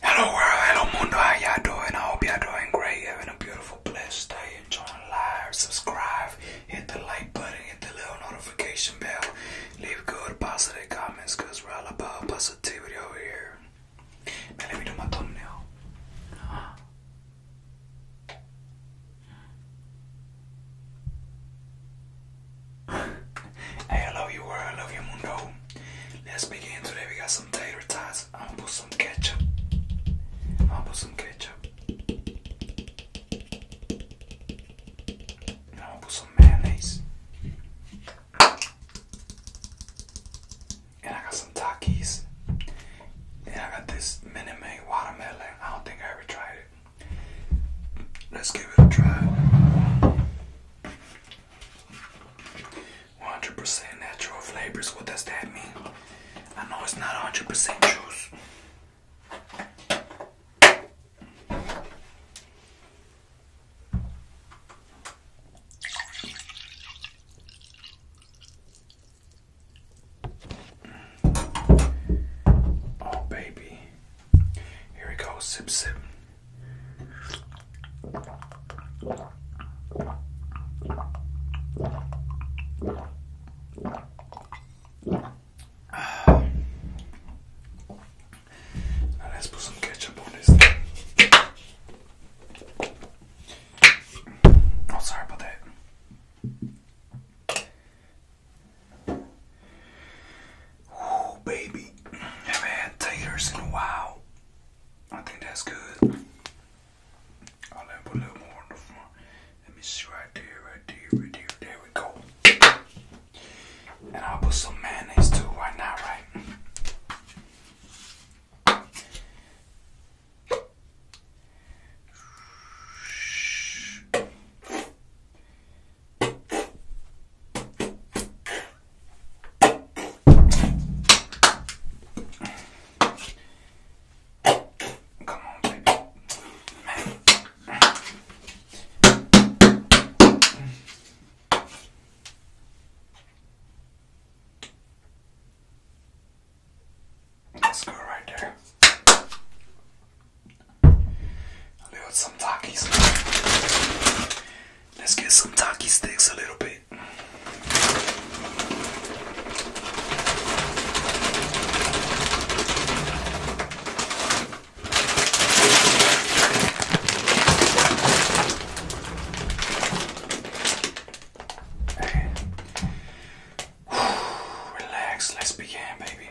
Hello world, hello mundo, how y'all doing? I hope y'all doing great, having a beautiful, blessed day, enjoying life. subscribe, hit the like button, hit the little notification bell, leave good positive comments, cause we're all about positivity over here. let me do my thumbnail. hey, I love you world, I love you mundo. Let's begin today. We got some tater tots. I'm gonna put some ketchup. I'm gonna put some ketchup. I'm gonna put some mayonnaise. And I got some Takis. And I got this mini may watermelon. I don't think I ever tried it. Let's give it a try. 100% natural flavors. What does that mean? I know it's not 100% juice. Mm. Oh, baby. Here we go. Sip, sip let's put some ketchup on this thing. Oh, sorry about that. Oh baby, haven't had taters in a while. I think that's good. I'll let a little more on the front. Let me see right there, right there, right there. There we go. And I'll put some mayonnaise too right now, right? Come on, baby. Let's go right there. I lured some Takis. Let's get some Taki sticks a little bit. Relax, let's begin, baby.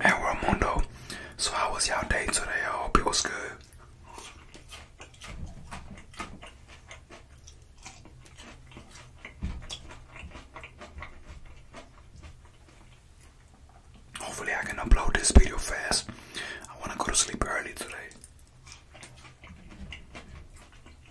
Hey World so how was y'all day today? I hope it was good. Hopefully I can upload this video fast. I want to go to sleep early today.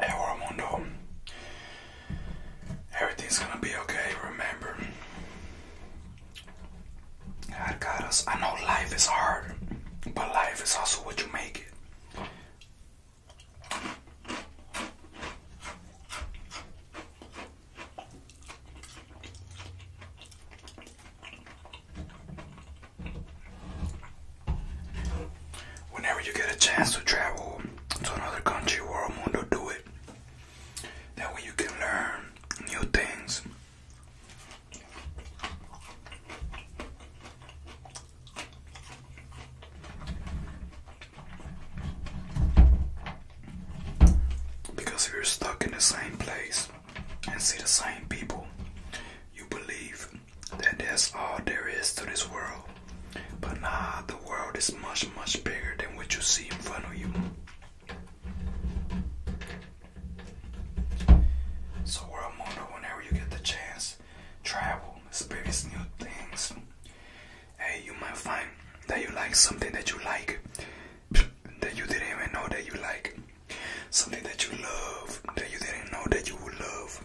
Hey Armando, everything's gonna be okay, remember. I got us. I know life is hard, but life is also what you make it. Whenever you get a chance to travel to another country, world, mundo, do it. That way you can learn new things. Because if you're stuck in the same place and see the same people, you believe that that's all there is to this world. But nah, the world is much, much bigger than what you see in front of you. So, world motto, whenever you get the chance, travel, experience new things, hey, you might find that you like something that you like that you didn't even know that you like, something that you love that you didn't know that you would love.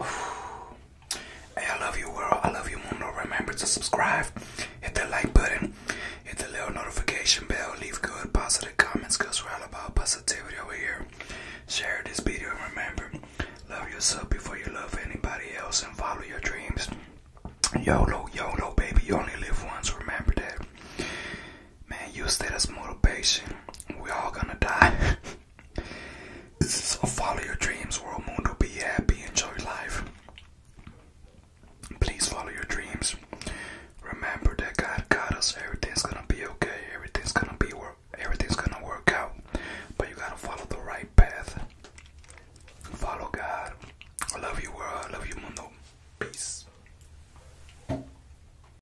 I love you world. I love you mundo. Remember to subscribe, hit that like button, hit the little notification bell, leave good positive comments because we're all about positivity over here. Share this video and remember, love yourself before you love anybody else and follow your dreams. YOLO, YOLO, baby, you only live once, remember that. Man, use that as motivation. We all gonna die. so follow your dreams, world mundo. Be happy, enjoy life. Please follow your dreams. Remember that God got us. Everything's gonna be okay. Everything's gonna be work. Everything's gonna work out. But you gotta follow the right path. Follow God. I love you, world. I love you, mundo. Peace.